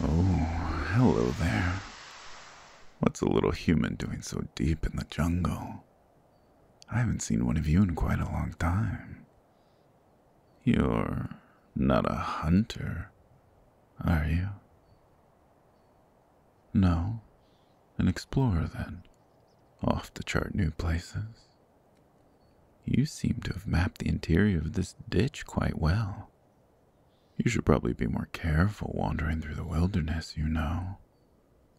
Oh, hello there. What's a little human doing so deep in the jungle? I haven't seen one of you in quite a long time. You're not a hunter, are you? No, an explorer then, off to chart new places. You seem to have mapped the interior of this ditch quite well. You should probably be more careful wandering through the wilderness, you know.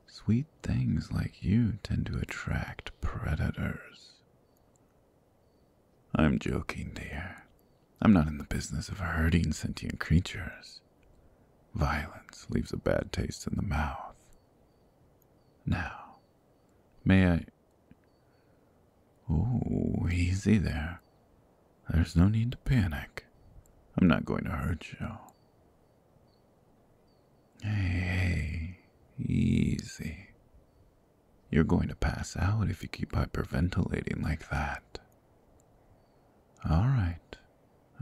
Sweet things like you tend to attract predators. I'm joking, dear. I'm not in the business of hurting sentient creatures. Violence leaves a bad taste in the mouth. Now, may I Ooh, easy there. There's no need to panic. I'm not going to hurt you. hey, easy. You're going to pass out if you keep hyperventilating like that. All right.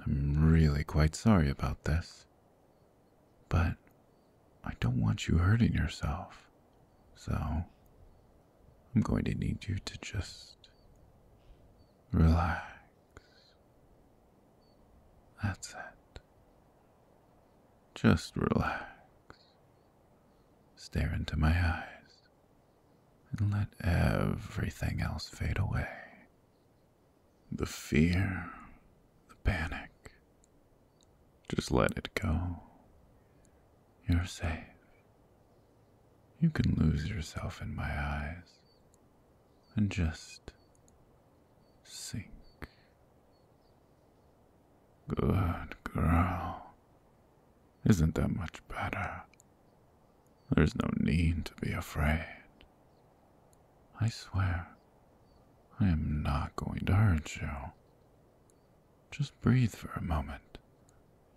I'm really quite sorry about this. But I don't want you hurting yourself, so I'm going to need you to just relax. That's it. Just relax. Stare into my eyes and let everything else fade away. The fear, the panic, just let it go. You're safe. You can lose yourself in my eyes and just sink. Good girl. Isn't that much better? There's no need to be afraid. I swear, I am not going to hurt you. Just breathe for a moment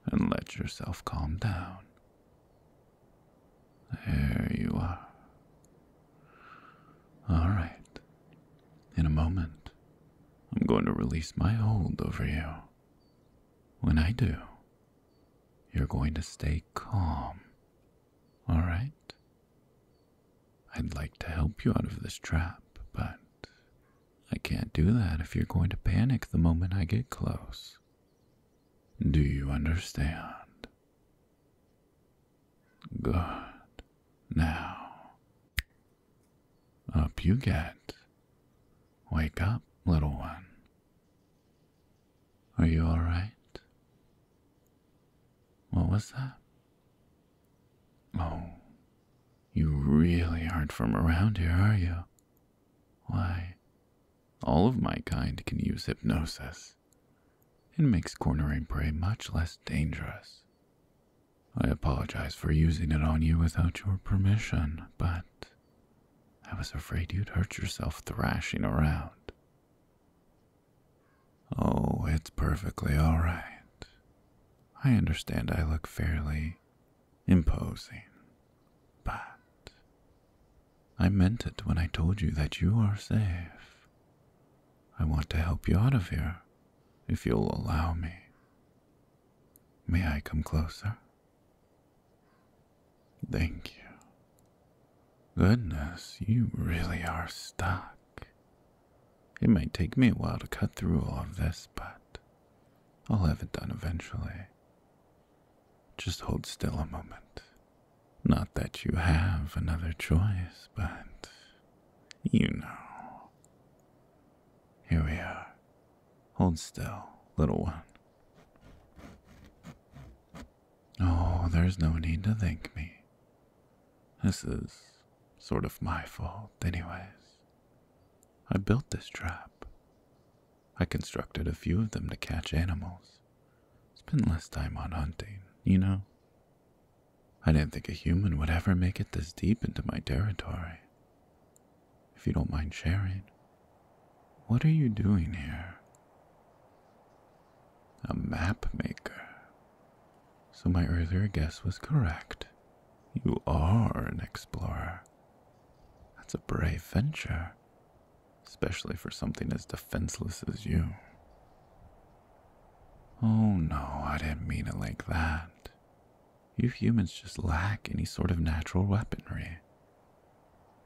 and let yourself calm down. There you are. All right. In a moment, I'm going to release my hold over you. When I do, you're going to stay calm. All right? I'd like to help you out of this trap, but I can't do that if you're going to panic the moment I get close. Do you understand? Good. Now, up you get. Wake up, little one. Are you alright? What was that? Oh, you really aren't from around here, are you? Why, all of my kind can use hypnosis. It makes cornering prey much less dangerous. I apologize for using it on you without your permission, but I was afraid you'd hurt yourself thrashing around. Oh, it's perfectly all right. I understand I look fairly imposing, but I meant it when I told you that you are safe. I want to help you out of here, if you'll allow me. May I come closer? Thank you. Goodness, you really are stuck. It might take me a while to cut through all of this, but I'll have it done eventually. Just hold still a moment. Not that you have another choice, but you know. Here we are. Hold still, little one. Oh, there's no need to thank me. This is sort of my fault, anyways. I built this trap. I constructed a few of them to catch animals. Spend less time on hunting, you know? I didn't think a human would ever make it this deep into my territory. If you don't mind sharing, what are you doing here? A map maker, so my earlier guess was correct. You are an explorer. That's a brave venture, especially for something as defenseless as you. Oh no, I didn't mean it like that. You humans just lack any sort of natural weaponry.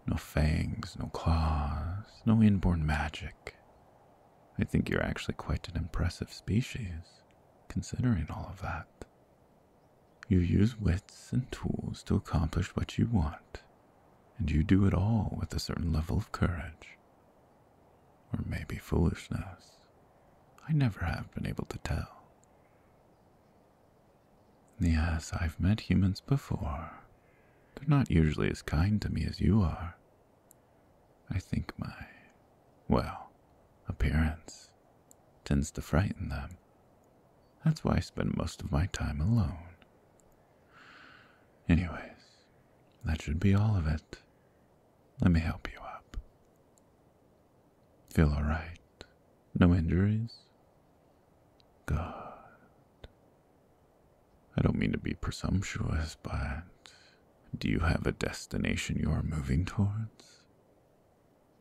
No fangs, no claws, no inborn magic, I think you're actually quite an impressive species, considering all of that. You use wits and tools to accomplish what you want, and you do it all with a certain level of courage. Or maybe foolishness. I never have been able to tell. Yes, I've met humans before. They're not usually as kind to me as you are, I think my, well, appearance tends to frighten them. That's why I spend most of my time alone. Anyways, that should be all of it. Let me help you up. Feel alright? No injuries? Good. I don't mean to be presumptuous, but do you have a destination you are moving towards?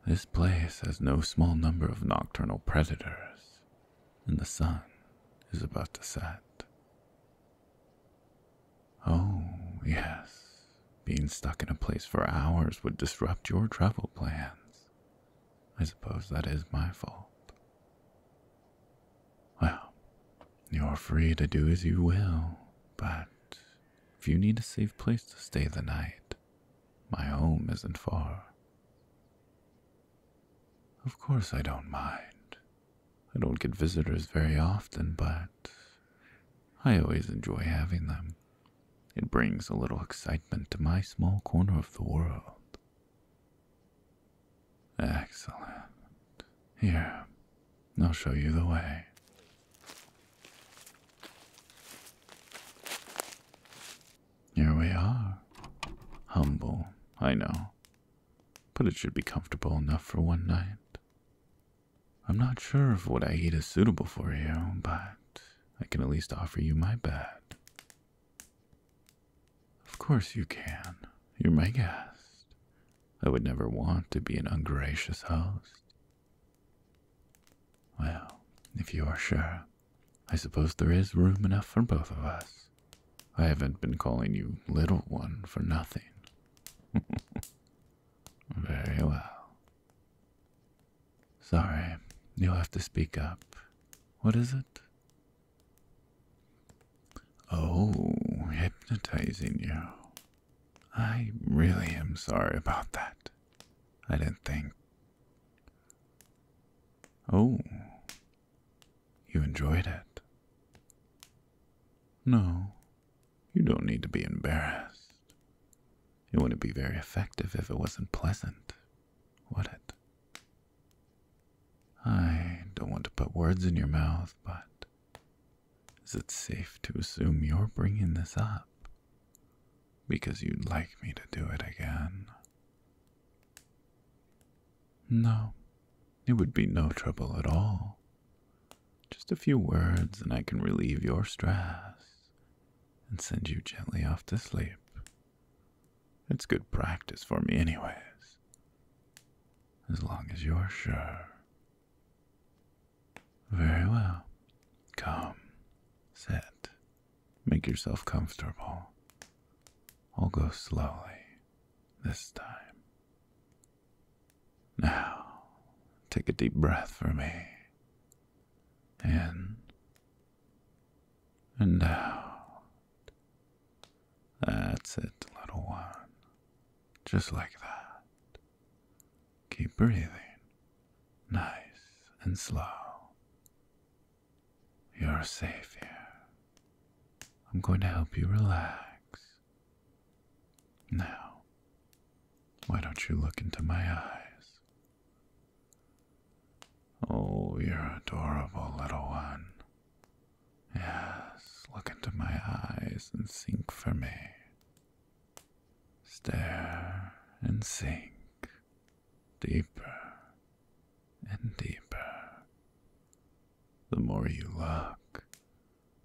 This place has no small number of nocturnal predators, and the sun is about to set. Oh, yes, being stuck in a place for hours would disrupt your travel plans. I suppose that is my fault. Well, you're free to do as you will, but if you need a safe place to stay the night, my home isn't far. Of course, I don't mind. I don't get visitors very often, but I always enjoy having them. It brings a little excitement to my small corner of the world. Excellent. Here, I'll show you the way. Here we are. Humble, I know, but it should be comfortable enough for one night. I'm not sure if what I eat is suitable for you, but I can at least offer you my bed of course you can. You're my guest. I would never want to be an ungracious host. Well, if you are sure, I suppose there is room enough for both of us. I haven't been calling you little one for nothing. Very well. Sorry, you'll have to speak up. What is it? Oh, hypnotizing you. I really am sorry about that. I didn't think. Oh, you enjoyed it. No, you don't need to be embarrassed. It wouldn't be very effective if it wasn't pleasant, would it? I don't want to put words in your mouth, but is it safe to assume you're bringing this up? Because you'd like me to do it again. No, it would be no trouble at all. Just a few words, and I can relieve your stress and send you gently off to sleep. It's good practice for me, anyways. As long as you're sure. Very well. Come, sit, make yourself comfortable. I'll go slowly this time. Now, take a deep breath for me. In and now, That's it, little one. Just like that. Keep breathing, nice and slow. You're safe here. I'm going to help you relax. Now, why don't you look into my eyes? Oh, you're adorable, little one. Yes, look into my eyes and sink for me. Stare and sink deeper and deeper. The more you look,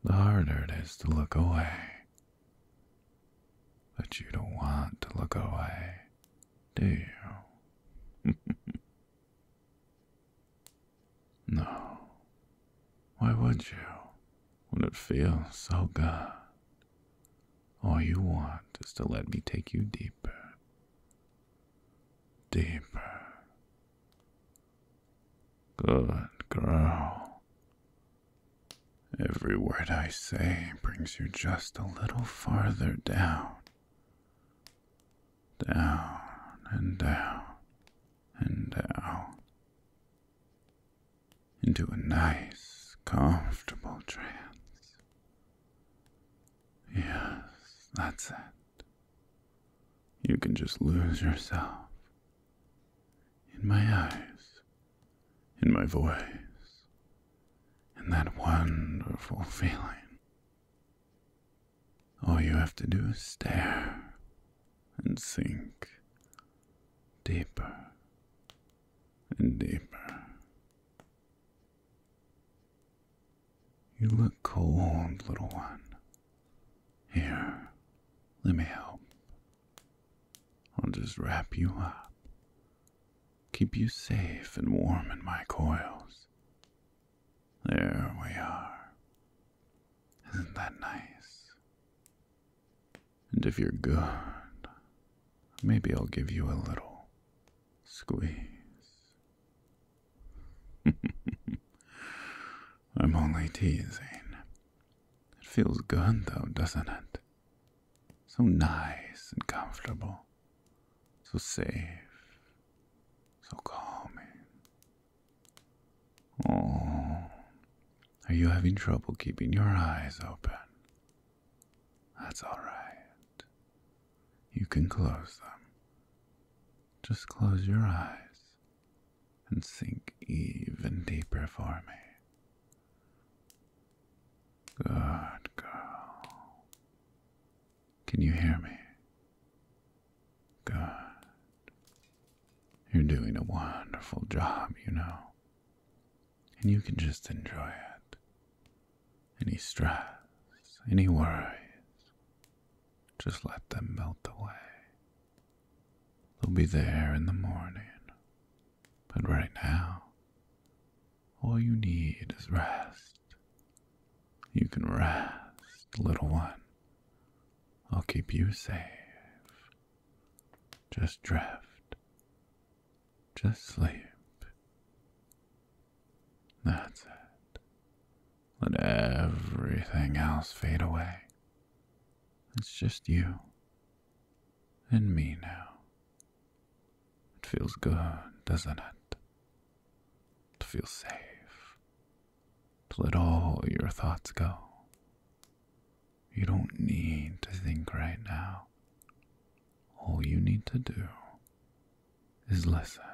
the harder it is to look away. But you don't want to look away, do you? No. Why would you? When it feels so good. All you want is to let me take you deeper. Deeper. Good girl. Every word I say brings you just a little farther down down and down and down into a nice, comfortable trance. Yes, that's it. You can just lose yourself in my eyes, in my voice, in that wonderful feeling all you have to do is stare and sink deeper and deeper. You look cold, little one. Here, let me help. I'll just wrap you up keep you safe and warm in my coils. There we are. Isn't that nice? And if you're good, maybe I'll give you a little squeeze. I'm only teasing. It feels good, though, doesn't it? So nice and comfortable, so safe, so calming. Oh, are you having trouble keeping your eyes open? That's all right. You can close them. Just close your eyes and sink even deeper for me. Good girl. Can you hear me? Good. You're doing a wonderful job, you know. And you can just enjoy it. Any stress, any worries, just let them melt away. They'll be there in the morning. But right now, all you need is rest. You can rest, little one. I'll keep you safe. Just drift. Just sleep. That's it. Let everything else fade away. It's just you and me now. It feels good, doesn't it? To feel safe. To let all your thoughts go. You don't need to think right now. All you need to do is listen.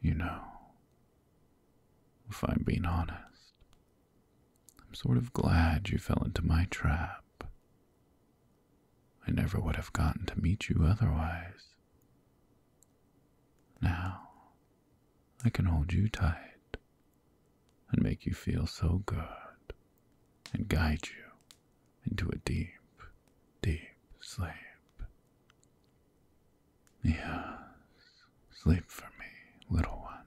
You know, if I'm being honest, I'm sort of glad you fell into my trap. I never would have gotten to meet you otherwise. Now, I can hold you tight and make you feel so good and guide you into a deep, deep sleep. Yes, sleep for me, little one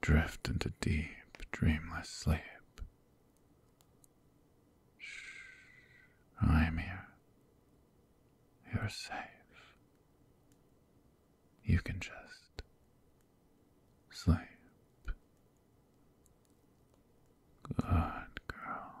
drift into deep, dreamless sleep. Shh, I am here. You're safe. You can just sleep. Good girl.